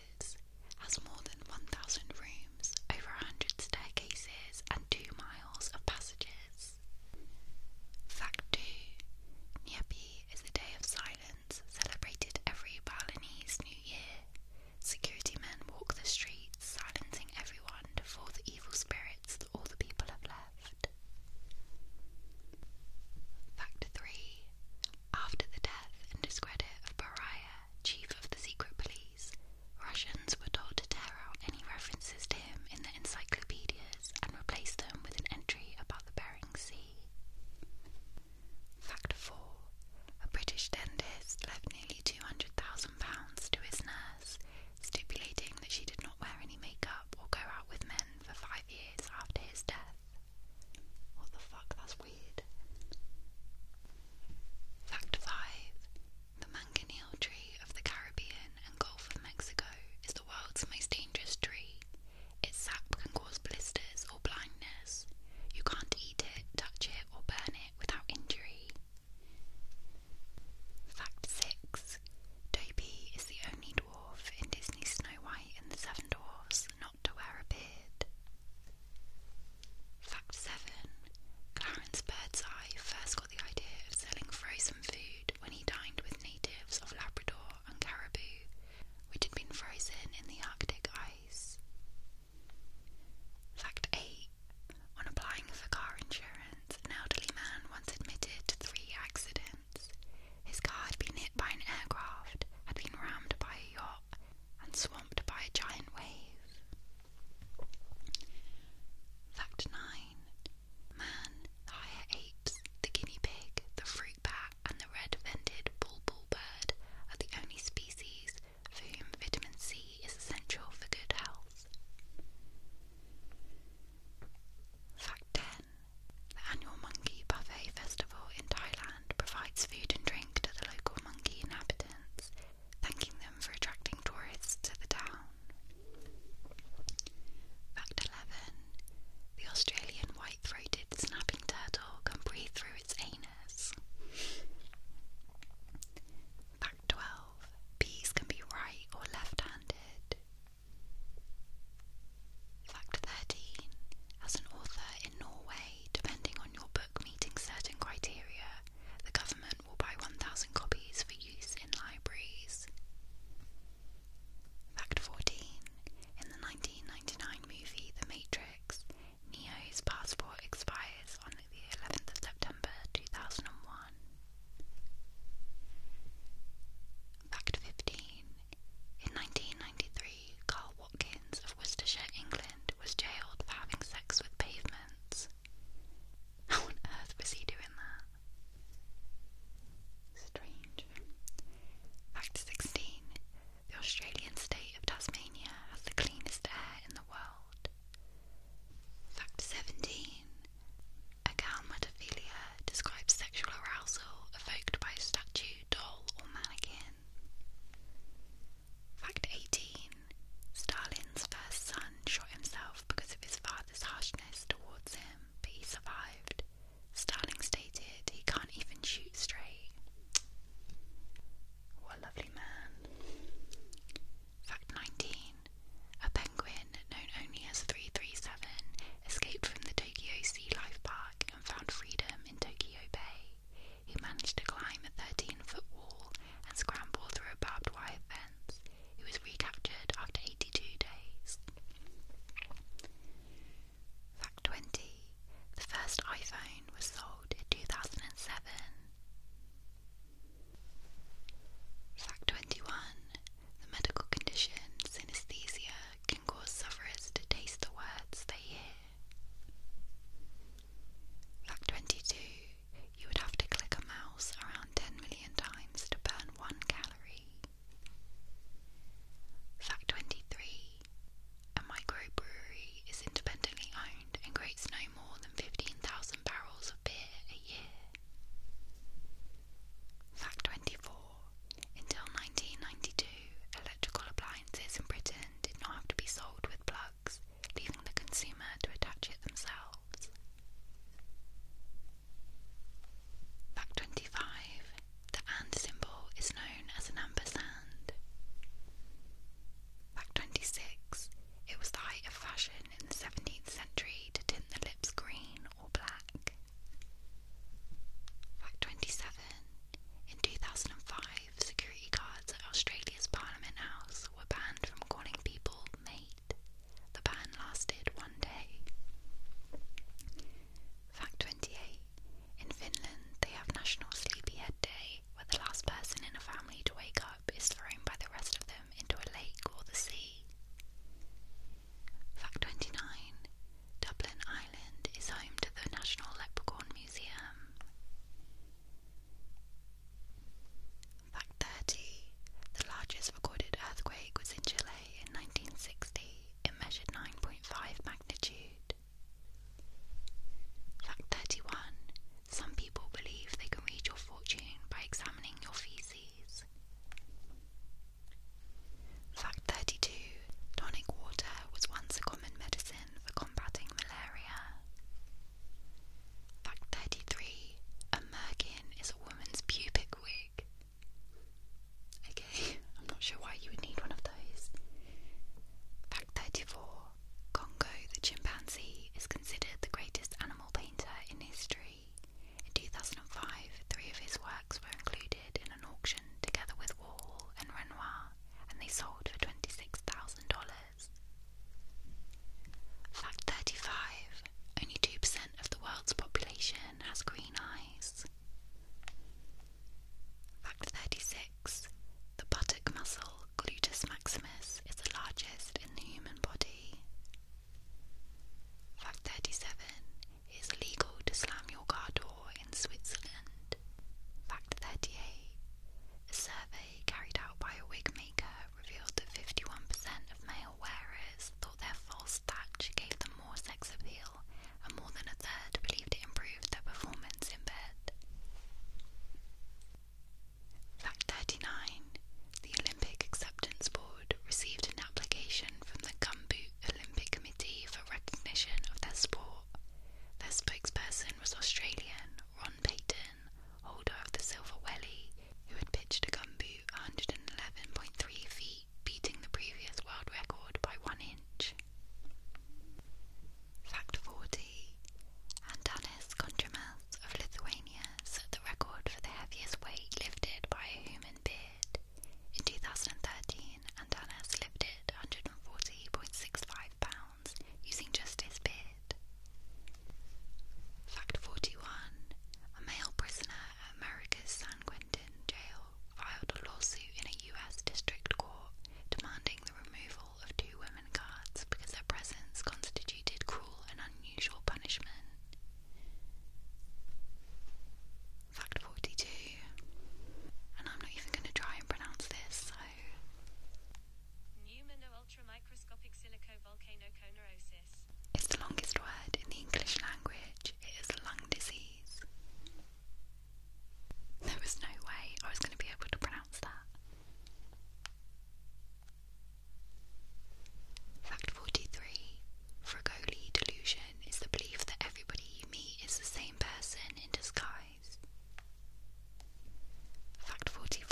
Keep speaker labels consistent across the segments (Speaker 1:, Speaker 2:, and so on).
Speaker 1: houses, has more than 1,000 rooms, over 100 staircases, and 2 miles of passages. Fact 2 Nyepi is a day of silence celebrated every Balinese New Year. Security men walk the streets, silencing everyone to the evil spirits that all the people have left. Fact 3 After the death and discredit of Bariah, chief of the secret police, Russians were told to tear out any references to him in the encyclopedias and replace them with an entry about the Bering Sea. Fact 4. A British dentist left nearly £200,000 to his nurse, stipulating that she did not wear any makeup or go out with men for five years after his death. What the fuck? That's weird. Fact 5. The mangonel tree of the Caribbean and Gulf of Mexico is the world's most dangerous tree. Its sap can cause blisters or blindness. You can't eat it, touch it, or burn it without injury. Fact 6. Dopey is the only dwarf in Disney's Snow White and the Seven Dwarfs to wear a beard. Fact 7. Clarence Birdseye first got the idea of selling frozen food when he dined with natives of Labrador and Caribou, which had been frozen in the Arctic ice. Fact 8. On applying for car insurance, an elderly man once admitted to three accidents. His car had been hit by an aircraft, had been rammed by a yacht, and swamped by a giant wave. Fact 9 Man, higher apes, the guinea pig, the fruit bat, and the red vented bulbul bird are the only species for whom vitamin C is essential for good health. Fact 10 The annual Monkey Buffet Festival in Thailand provides food and drink to the local monkey inhabitants, thanking them for attracting tourists to the town. Fact 11. The Australian white throated snapping turtle can breathe through its anus. Fact 12. Bees can be right or left handed. Fact 13. As an author in Norway, depending on your book meeting certain criteria, the government will buy 1,000 copies for use in libraries. Fact 14. In the 1999 movie The Matrix, Neo's passport expires on the 11th of September 2001. Fact 15. In 1993, Carl Watkins of Worcestershire, England, was jailed for having sex with pavements. How on earth was he doing that? Strange. Fact 16. The Australian state of Tasmania has the cleanest air in the world. Fact 17. A galmatophilia describes sexual arousal evoked by a statue doll, or mannequin. Fact 18 Stalin's first son shot himself because of his father's harshness towards him, but he survived. Stalin stated he can't even shoot straight. What a lovely man. Fact 19 A penguin, known only as 337, escaped from the Tokyo Sea Life Park and found freedom in Tokyo Bay. He managed to climb a 13-foot wall and scramble through a barbed wire fence. He was recaptured after 82 days. Fact 20. The first iPhone was sold in 2007. Fact 21. The medical condition synesthesia cause sufferers to taste the words they hear. Fact 22 You would have to click a mouse around 10 million times to burn one calorie. Fact 23 A microbrewery is independently owned and creates no more than 15,000 barrels of beer a year. Fact 24 until 1992, electrical appliances in Britain did not have to be sold with plugs, leaving the consumer to attach it themselves. Fact 25. The and symbol is known as an ampersand. Fact 26. It was the height of fashion in the 17th century to tint the lips green or black. Fact 27. In 2005, security guards at Australia's Parliament House were banned from calling people mate. The ban lasted one day. Fact 28. In Finland, they have National Sleepyhead Day, where the last person in a family to wake up is thrown by the rest of them into a lake or the sea. Fact 29 Dublin Island is home to the National Leprechaun Museum. Fact 30 The largest recorded earthquake was in Chile in 1960. It measured 9.5 magnitude. Fact 31 Some people believe they can read your fortune by examining your feces. Fact 32 Tonic water was once a common medicine for combating malaria. Fact 33 A merkin is a woman's pubic wig. Okay, I'm not sure why you would need one of those. Fact 34 Congo the chimpanzee is considered the greatest animal painter in history. In 2005, three of his works were included in an auction together with Wall and Renoir, and they sold for $26,000. Fact 35 Only 2% of the world's population has green eyes. Fact 36 The buttock muscle, gluteus maximus, is the largest in the human body. Fact 37 it is legal to slam your car door in Switzerland. Fact 38. A survey carried out by a wig maker revealed that 51% of male wearers thought their false thatch gave them more sex appeal, and more than a third believed it improved their performance in bed. Fact 39. The Olympic Acceptance Board received an application from the Gumboot Olympic Committee for recognition of their sport. Their spokesperson was Australian Ron Payton, holder of the Silver Welly, who had pitched a gumboot 111.3 feet, beating the previous world record by one inch. Fact 40 Antanas Kontramas of Lithuania set the record for the heaviest weight lifted by a human being in 2013, and Dennis lifted 140.65 pounds using just his beard. Fact 41 A male prisoner at America's San Quentin jail filed a lawsuit in a US district court demanding the removal of two women guards because their presence constituted cruel and unusual punishment. Fact 42, and I'm not even going to try and pronounce this, so. Newman ultramicroscopic silicovolcanoconorosis. It's the longest word in the English language. It is a lung disease. There was no way I was going to be able to pronounce that. Fact 43 Fragoli delusion is the belief that everybody you meet is the same person in disguise. Fact 44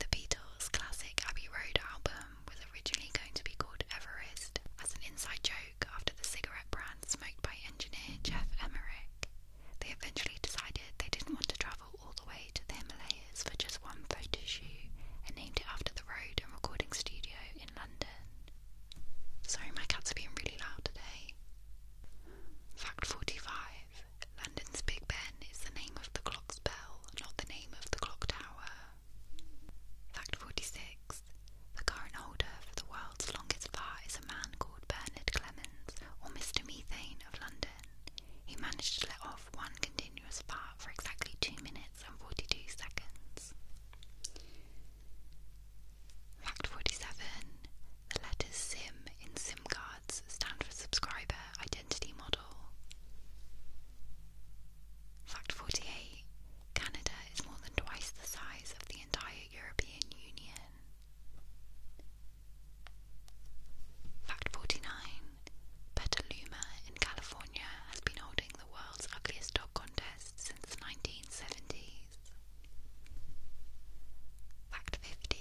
Speaker 1: The Beatles' classic Abbey Road album was originally going to be called Everest as an inside joke after the cigarette brand smoked by engineer Jeff Emmerich. They eventually decided they didn't want to travel all the way to the Himalayas for just one photo shoot and named it after the road and recording studio in London. Sorry, my cats are being really loud today. Fact 45 London's Big Ben is the name of the clock's bell, not the name of the clock tower. Fact 46 The current holder for the world's longest bar is a man called Bernard Clemens, or Mr. Methane of London. He managed to let off one continuous fart for exactly two minutes minutes 42 seconds. Fact 47 The letters SIM in SIM cards stand for Subscriber Identity Model. Fact 48 Canada is more than twice the size of the entire European Union. Fact 49 Petaluma in California has been holding the world's ugliest dog contest since the 1970s. Fact 50.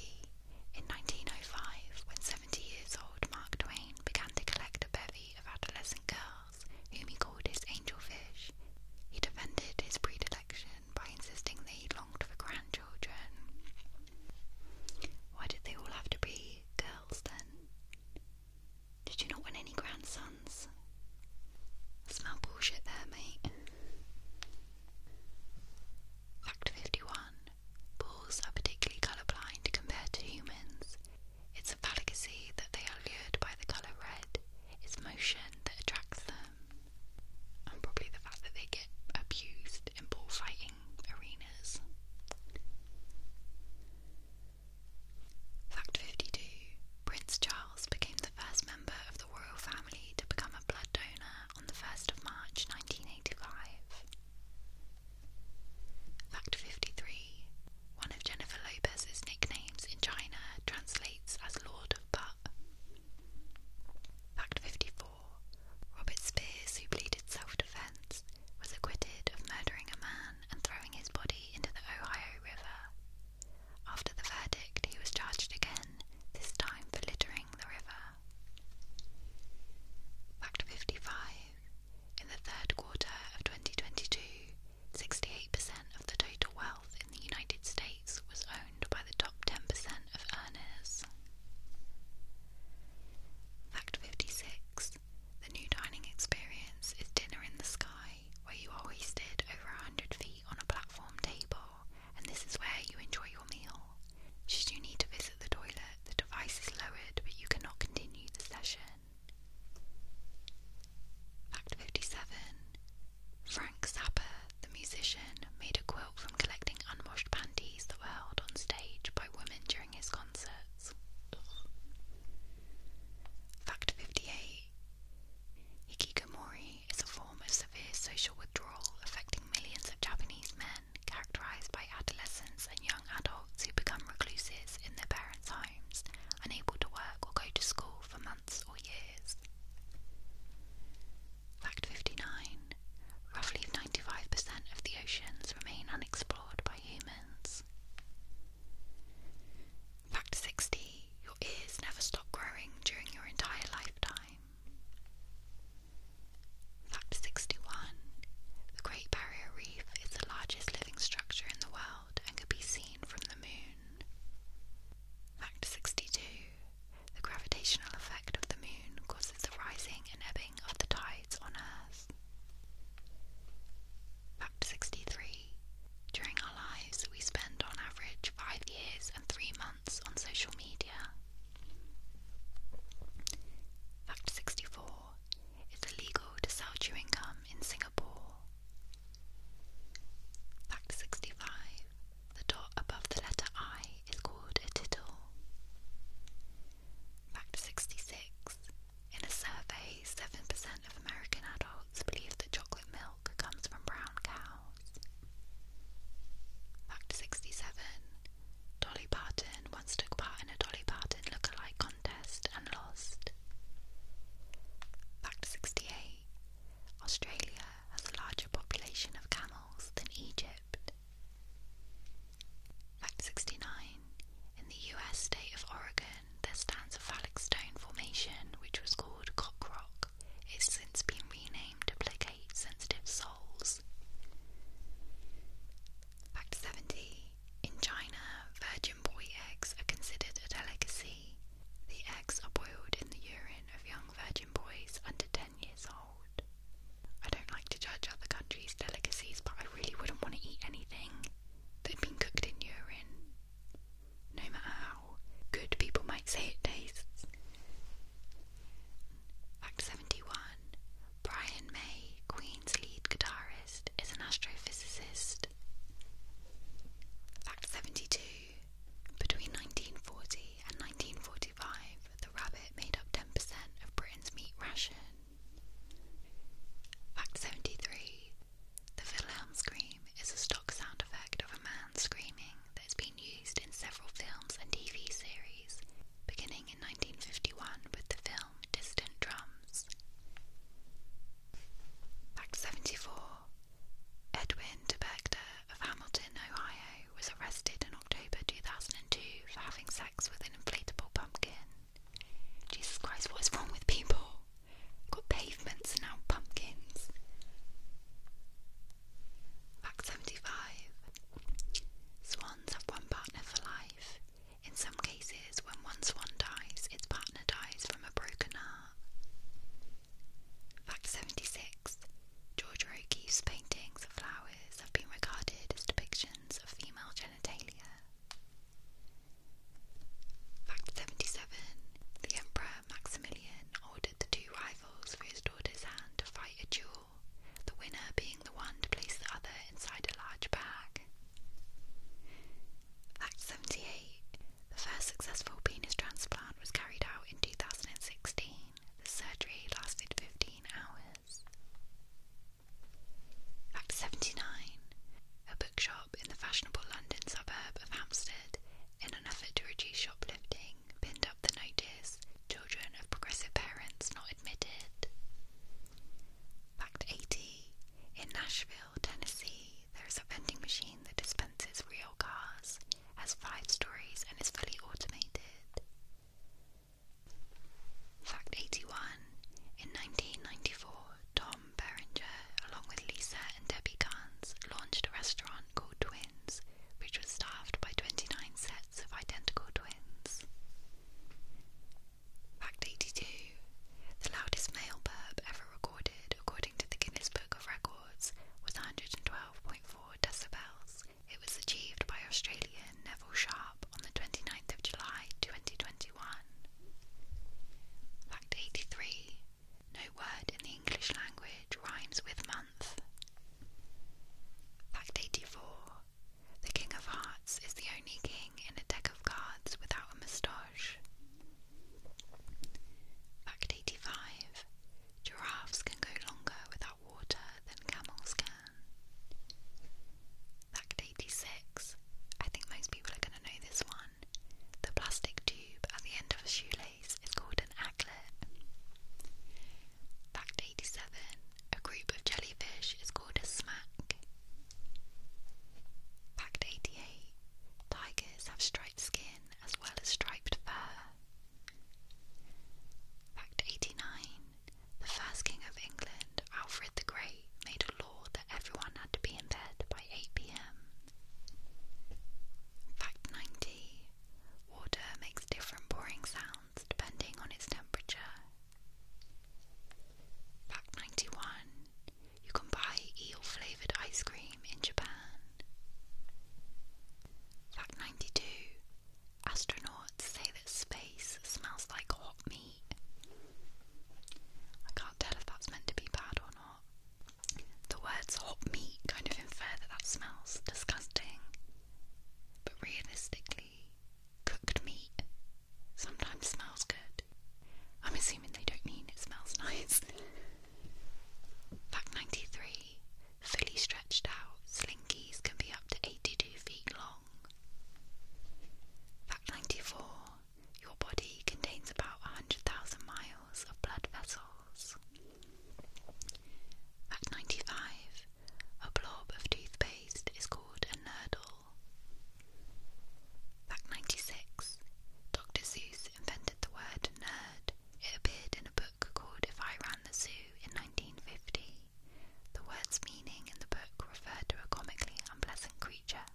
Speaker 1: In 1905, when 70 years old Mark Twain began to collect a bevy of adolescent girls whom he called his angel fish. he defended his predilection by insisting that he longed for grandchildren. Why did they all have to be girls? Did you not want any grandsons? smell bullshit there, mate. Fact 51. Bulls are particularly colourblind compared to humans. It's a fallacy that they are lured by the colour red. It's motion that attracts them. And probably the fact that they get abused in bullfighting arenas. Fact 52 Prince Charles became the first member of the royal family to become a blood donor on the 1st of March 1985. Fact 53 One of Jennifer Lopez's nicknames in China translates as Lord of Butt. Fact 54 Robert Spears, who pleaded self-defense, was acquitted of murdering a man and throwing his body into the Ohio River. After the verdict, he was charged again, this time for littering the river. Fact 55. In the third quarter of 2022, 68% of the total wealth in the United States was owned by the top 10% of earners. Fact 56 The new dining experience is dinner in the sky, where you are hoisted over 100 feet on a platform table, and this is where you enjoy your meal. Should you need to visit the toilet, the device is lowered, but you cannot continue the session. Fact 57 Frank Zappa, the musician, made a from collecting unwashed panties that were held on stage by women during his concerts. Fact 58 Hikikomori is a form of severe social withdrawal affecting millions of Japanese men, characterized by adolescents and young adults who become recluses in their parents' homes, unable to work or go to school for months or years. Fact 59. Roughly 95% of the oceans remain unexplored by humans. Fact 60. Your ears never stop growing during your entire lifetime. Fact 61. The Great Barrier Reef is the largest living structure in the world and can be seen from the moon. Fact 62. The gravitational effect of the moon causes the rising and ebbing of the tides on Earth. Fact 63. During our lives, we spend on average five years and three months on social media. Fact 64. It's illegal to sell chewing gum in Singapore. Fact 65. The dot above the letter I is called a tittle. Fact 66. In a survey, 7% of American adults believe that chocolate milk comes from brown cows. Fact 67. Dolly Parton once took part in a Dolly Parton look-alike contest and lost. Fact 68. Australia has a larger population of camels than Egypt. Fact 69. In the US state of Oregon, there stands a phallic stone formation which was called Cock Rock. It's since been renamed to sensitive souls. Fact 70. In China, virgin boy eggs are considered a delicacy. The eggs are boiled in the urine of young virgin boys under 10 years old. I don't like to judge other countries' delicacies, but I really wouldn't want to eat anything that had been cooked in urine. No matter how good people might say it tastes. Fact 71 Brian May, Queen's lead guitarist, is an astrophysicist. Fact 72 Between 1940 in 1945, the rabbit made up 10% of Britain's meat ration. Fact 73 The Wilhelm scream is a stock sound effect of a man screaming that has been used in several films and TV series, beginning in 1951 with the film Distant Drums. Fact 74 Edwin de of Hamilton, Ohio, was arrested in October 2002 for having sex with an inflatable pumpkin. Jesus Christ, what is wrong with people? got pavements now pumpkins. Fact 75. Swans have one partner for life. In some cases, when one swan dies, its partner dies from a broken heart. Fact 76. George O'Keeffe's paintings of flowers have been regarded as depictions of female genitalia. Fact 77. The Emperor Maximilian ordered the two rivals for his daughter's hand to fight a duel, the winner being the one to place the other inside a large bag. Fact 78. The first successful penis transplant was carried out in 2016. The surgery lasted 15 hours. Fact 79. A bookshop in the fashionable London suburb of Hampstead, in an effort to reduce shoplifting, pinned up the notice Children of progressive parents not admitted. Fact 80. In Nashville, Tennessee, there is a vending machine that dispenses real cars has five stories and is fully automated. Fact 81. In 1994, Tom Berenger, along with Lisa and Debbie Gans, launched a restaurant called Twins, which was staffed by 29 sets of identical twins. Fact 82. The loudest male burp ever recorded, according to the Guinness Book of Records, was 112.4 decibels. It was achieved by Australian Neville Sharp on the 29th of July 2021. Fact 83. No word in the English language rhymes with month. Fact 84. The King of Hearts is the only king in a deck of cards without a moustache. Fact 85. Giraffes can go longer without water than camels can. Fact 86. I think most people are going to know this one. The plastic tube at the end of a shoelace is called an acklet. Fact 87. A group of jellyfish is called a smack. Fact 88. Tigers have striped skin as well as striped fur. Fact 89. The first king of England, Alfred the Great, made a law that everyone had to be in bed by 8 pm. Fact 90. Water makes different boring sounds depending on its temperature. Fact 91. You can buy eel flavoured ice cream in Japan. Fact 92 Astronauts say that space smells like hot meat. I can't tell if that's meant to be bad or not. The words hot meat kind of infer that that smells disgusting. But realistically, cooked meat sometimes smells good. I'm assuming they don't mean it smells nice. Fact 93 Fully stretched out, slinkies can be up to 82 feet long. Fact 94 Your body contains about 100,000 miles of blood vessels. Fact 95 A blob of toothpaste is called a nurdle. Fact 96 Dr. Seuss invented the word nerd it appeared in a book called If I Ran the Zoo in 1950. The word's meaning in the book referred to a comically unpleasant creature,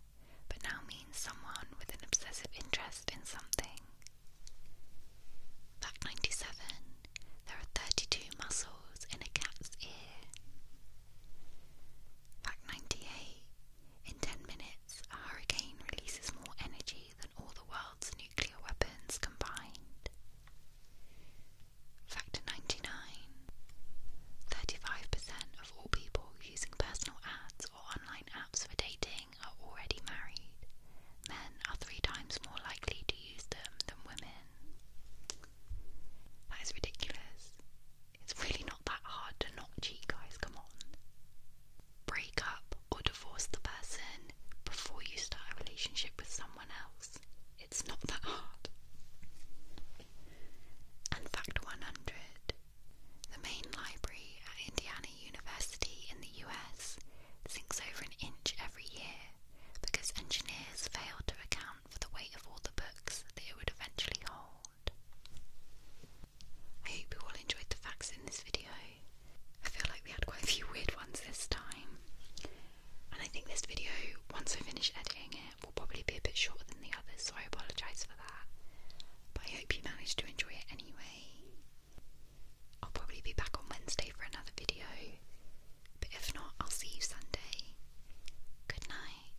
Speaker 1: but now means someone with an obsessive interest in something. Fact 97. There are 32 muscles in a cat's ear. Fact 98. In 10 minutes, a hurricane releases more energy deadly than all the world's nuclear weapons combined. Factor 99 35% of all people using personal ads or online apps for dating are already married. Men are three times more likely to use them than women. That is ridiculous. It's really not that hard to not cheat, guys, come on break up or divorce the person before you start a relationship with someone else. It's not that hard. And fact 100 the main library at Indiana University in the US sinks over an inch every year because engineers failed to account for the weight of all the books that it would eventually hold. I hope you all enjoyed the facts in this video. I feel like we had quite a few weird ones this time. And I think this video, once I finish editing it, will probably be a bit shorter than the others, so I apologise for that. But I hope you managed to enjoy it anyway. I'll probably be back on Wednesday for another video. But if not, I'll see you Sunday. Good night.